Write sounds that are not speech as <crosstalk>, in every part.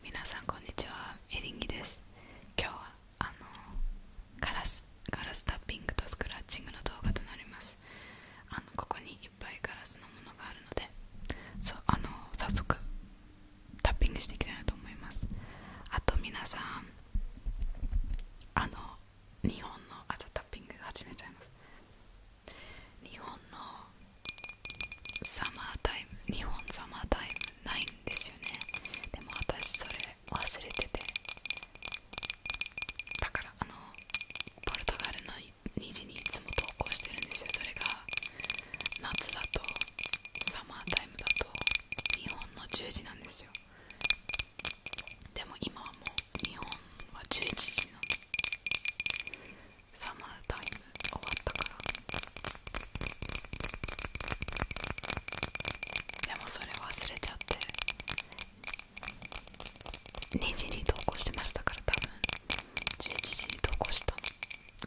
皆さんこんにちはエリンギです今日はあのガラスガラスタッピングとスクラッチングの動画となりますあのここにいっぱいガラスのものがあるのでそうあの早速タッピングしていきたいなと思いますあと皆さんあの日本のあとタッピング始めちゃいます日本のサマータイム日本サマータイムないんですよねでも私それ忘れててだからあのポルトガルの2時にいつも投稿してるんですよそれが夏だとサマータイムだと日本の10時なんですよでも今はもう日本は11時なのサマータイム終わったからでもそれ忘れちゃって2時に投稿してましたから多分11時に投稿した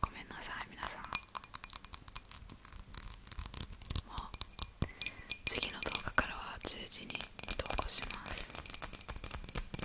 ごめんなさい皆さん次の動画からは10時に投稿します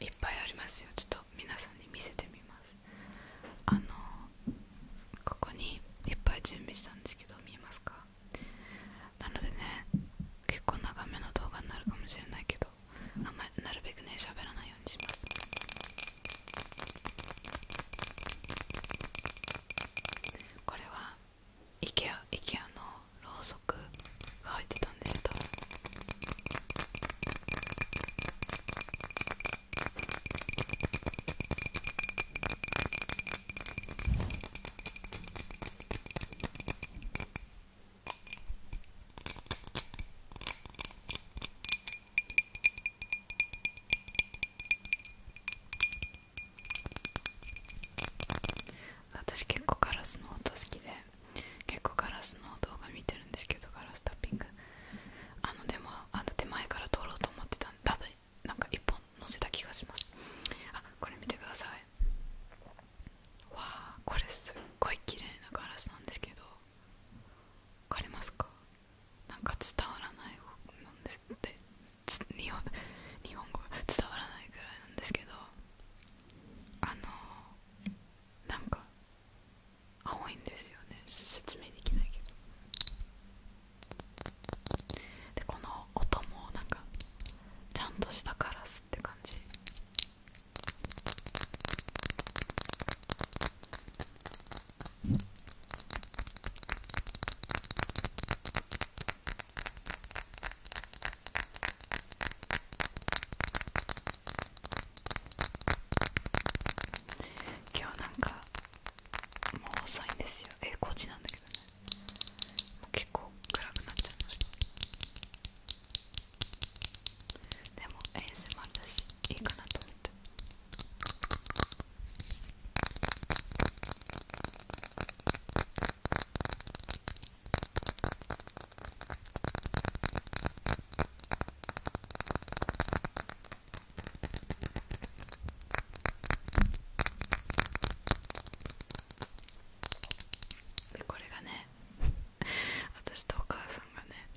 いっぱいありますよちょっと皆さんに見せてみますあのここにいっぱい準備したんですけど見えますかなのでね結構長めの動画になるかもしれないけどあんまりなるべくね喋らないようにしますこれはイケア、a i k のろうそくが入ってたんですよ多私結構ガラスの音好きで結構ガラスの動画見てるんですけどガラスタッピングあのでもあの手前から撮ろうと思ってたんで多分なんか1本載せた気がしますあこれ見てくださいわあこれすっごい綺麗なガラスなんですけど分かりますかなんか伝わらないなんですって日本日本語伝わらないぐらいなんですけどあのなんか青いんですよね説明できないけどでこの音もなんかちゃんとしたカラスって感じ今日なんかもう遅いんですよえこっちなんだけどね結構暗くなっちゃいましたでも ASMR だしいいかなと思ってでこれがね <laughs> 私とお母さんがね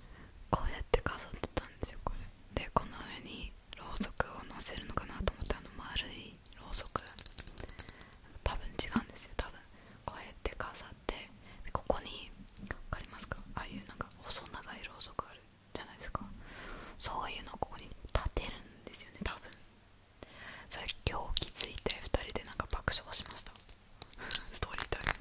こうやって飾ってたんですよこれでこの上にろうそくをのせるのかなと思ってあの丸いろうそく多分違うんですよ多分こうやって飾ってここに分かりますかああいうなんか細長いろうそくあるじゃないですかそういうのをここに立てるんですよね多分それ今日気づいて2人でなんか爆笑しました <laughs> ストーリータイム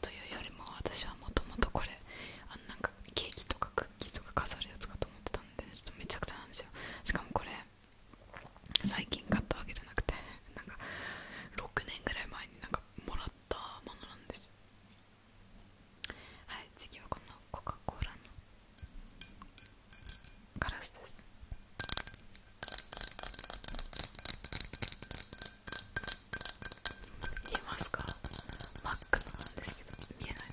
というよりも私はもともとこれあのなんかケーキとかクッキーとか飾るやつかと思ってたんで、ちょっとめちゃくちゃなんですよしかもこれ最近買ったわけじゃなくて <laughs> なんか6年ぐらい前になんかもらったものなんですよはい次はこのコカ・コーラのガラスです見えますか真っ黒なんですけど見えないね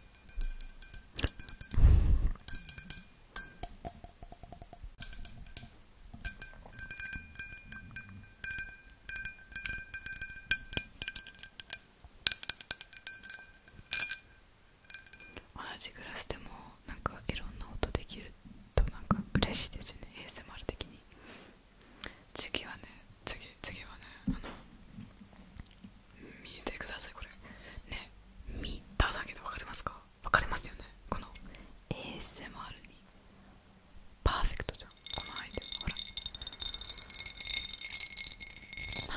同じグラスでもなんかいろんな音できるとなんか嬉しいですね ASMR 的に次はね次次はねあの見てくださいこれね見ただけで分かりますか分かりますよねこの ASMR にパーフェクトじゃんこのアイテムほら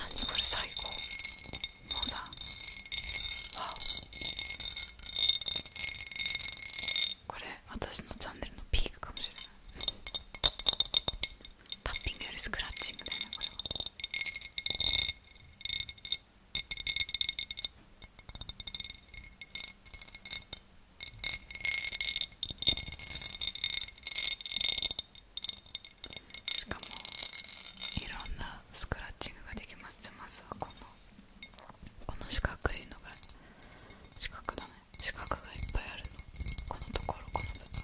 何これ最高もうさわこれ私のチャンネルのピークかもしれないタッピングよりスクラッチみたいなこれは。しかもいろんなスクラッチングができますじゃまずはこのこの四角いのが四角だね四角がいっぱいあるのこのところこの部分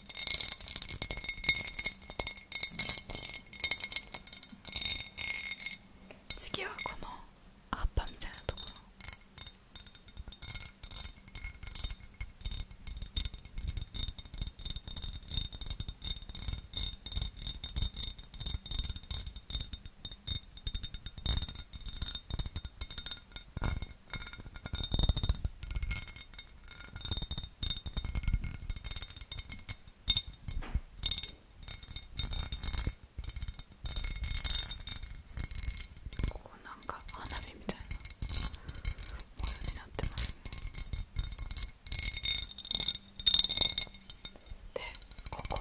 次はこの葉っぱみたいなところここなんか花火みたいなものになってますねでここ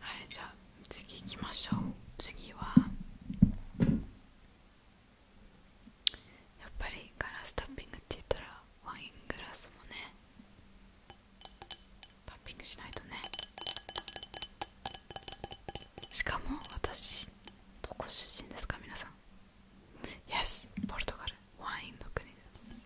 はいじゃあ次行きましょう次はやっぱりガラスタッピングって言ったらワイングラスもねパッピングしないとねしかも私どこ出身ですか皆さん Yes ポルトガルワインの国です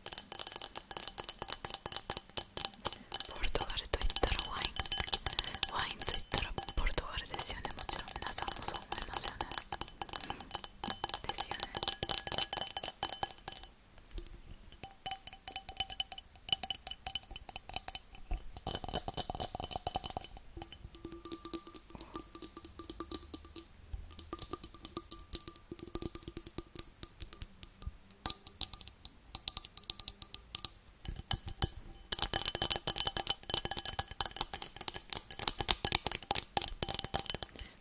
ポルトガルと言ったらワインワインと言ったらポルトガルですよねもちろん皆さんもそう思いますよね、うん、ですよね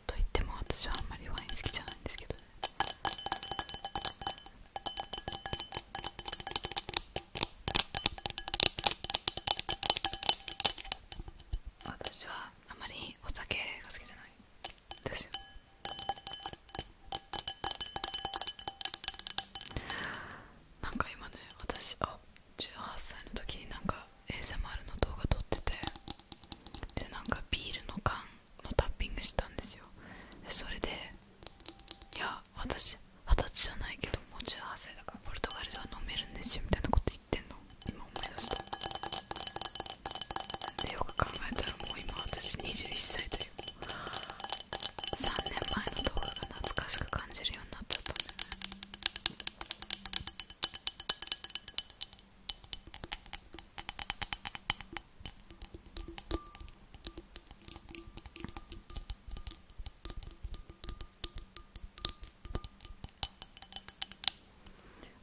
といっても私はあんまりワイン好きじゃないんですけどね私はあまりお酒が好きじゃないですよなんか今ね私あ18歳の時になんか ASMR の動画撮っててでなんかビールの缶のタッピングしたんですよそれでいや私二十歳じゃないけどもう18歳だからポルトガルでは飲めるんですよみたいなこと言ってんの今思い出したなんでよく考えたらもう今私21歳という3年前のところが懐かしく感じるようになっちゃったんだよね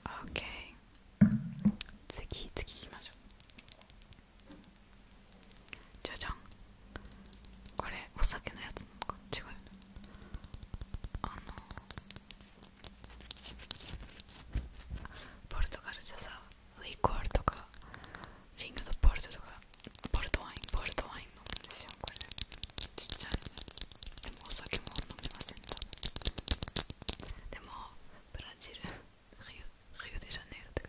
オ OK 次次行きましょうじゃじゃんこれお酒のやつなのか違うよねあのポルトガルじゃさリコールとかリングのポルトとかポルトワインポルトワイン飲むんですよこれちっちゃいでもお酒も飲みませんとでもブラジルリュリュデジャネイロとか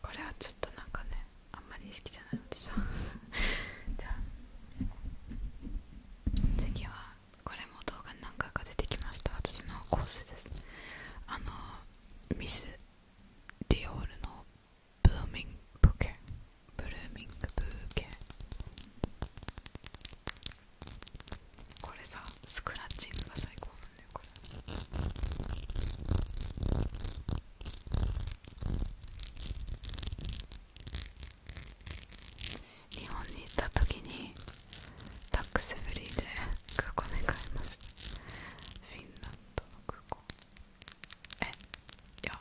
これはちょっとなんかねあんまり好きじゃないのでしょ。<laughs> じゃあ次はこれも動画に何回か出てきました私のコースですあのミスディオールのブーミングブーケブルーミングブーケこれさスクラッチングが最高なんだよこれ日本に行った時にタックスフリーで空港で買いましたフィンランドの空港えいや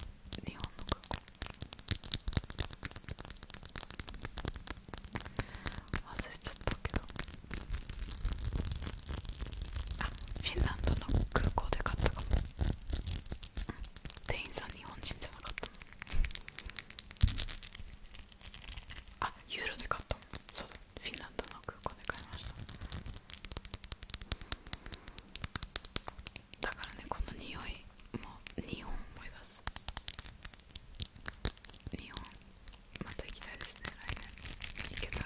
日本の空港。忘れちゃったけどあフィンランドの空港で買ったかも、店員さん日本人じゃなかったのあユーロで買ったもんそうだフィンランドの空港で買いましただからねこの匂いも2本思い出す2本また行きたいですね来年行けたら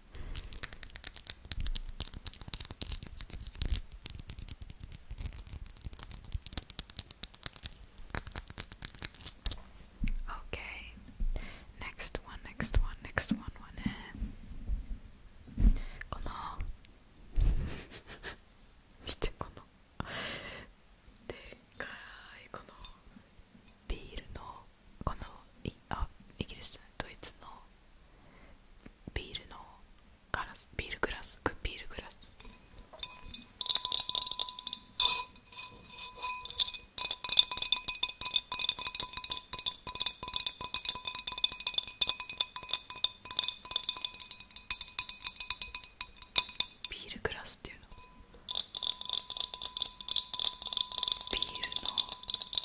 Okay, next one, next one, next one, one. Eh? この見てこのでっかいこのビールのこのいあイギリスじゃないドイツのビールのガラスビールグラスビールグラスビールグラスっていうのビールの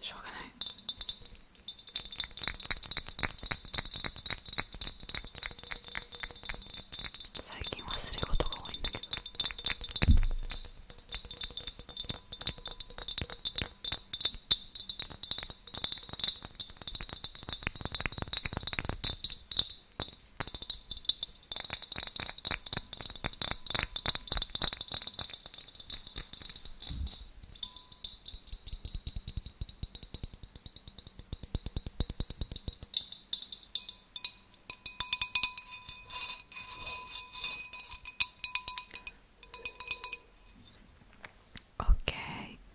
しょうがない最近忘れ事が多いんだけど OK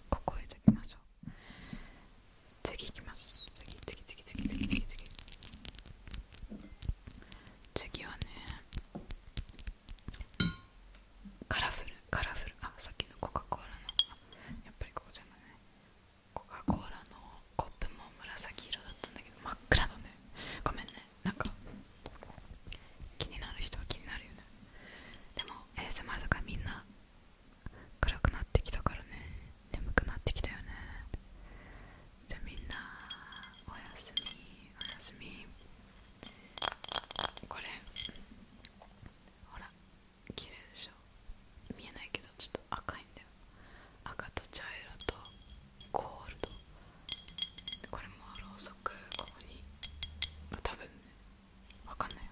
ここへときましょう次行きます次次次次次次次次はねカラフルカラフルあさっきのコカ・コーラのやっぱりこうじゃないねコカ・コーラのコップも紫色だったんだけど真っ暗だねごめんねなんか気になる人は気になるよねでも ASMR だからみんな暗くなってきたからね眠くなってきたよねじゃみんなおやすみおやすみこれほら綺麗でしょ見えないけどちょっと赤いんだよ赤と茶色とゴールドこれもろうそくここに多分ねわかんないよ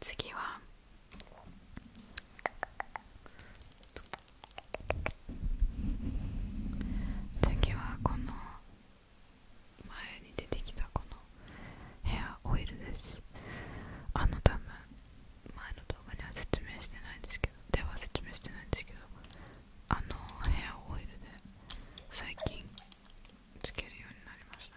次は次はこの前に出てきたこのヘアオイルですあの多分前の動画には説明してないんですけどでは説明してないんですけどあのヘアオイルで最近つけるようになりました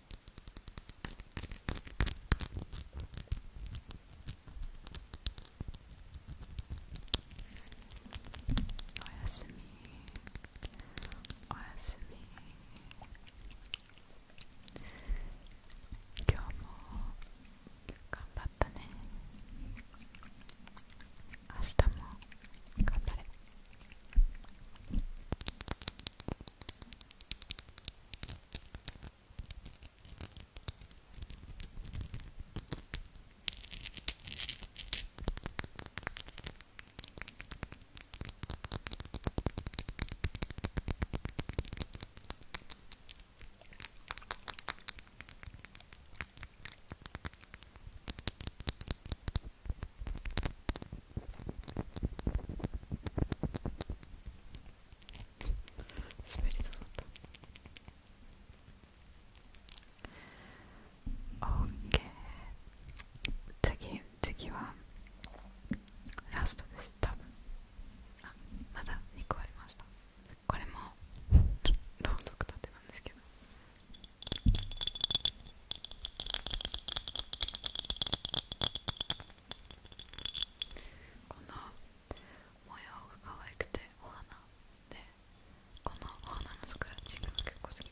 おやすみおやすみ今日も頑張ったね明日も頑張れ滑りそうだったオッケー次次はラストです多分あまだ2個ありましたこれもろうそく立てなんですけどこの模様が可愛くてお花でこのお花のスクラッチが結構好きで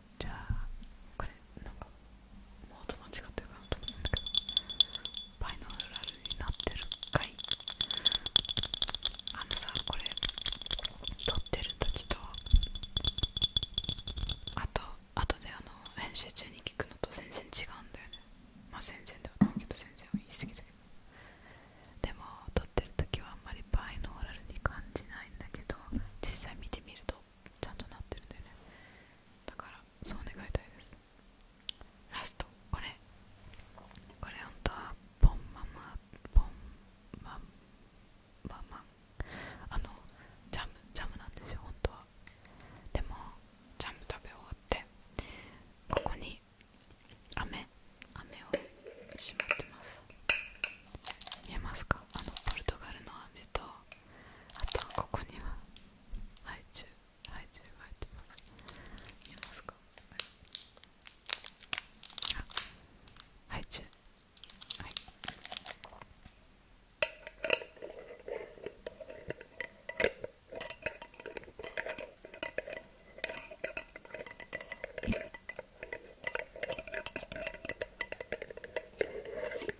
じゃあこれなんかモード間違ってるかなと思うんだけどバイノーラルになってるかいあのさこれ撮ってる時とあとあとであの編集中に聞くのと全然違うんだよねまあ全然ではないけど全然言い過ぎだけでも撮ってる時はあんまりバイノーラルに感じないんだけど実際見てみるとちゃんとなってるんだよねだからそう願いたいですラストこれこれ本当はポンママポンマママあのジャムジャムなんですよ本当はでもジャム食べ終わってここに雨雨をしまってます見えますかあのポルトガルの飴とあとここにはハイチュウハイチュウが入ってます見えますかはいハイ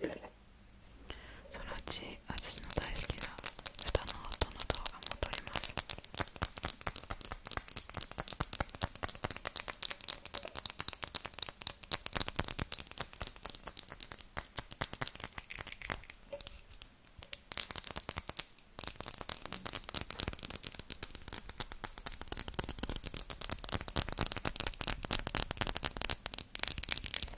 はいそのうち私の大好きな歌の音の動画も撮ります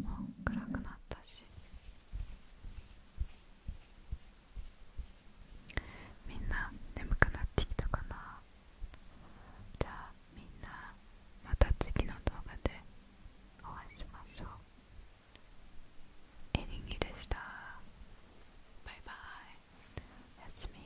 もう暗くなったしみんな眠くなってきたかなじゃあみんなまた次の動画でお会いしましょうエリンギでしたバイバイおやすみ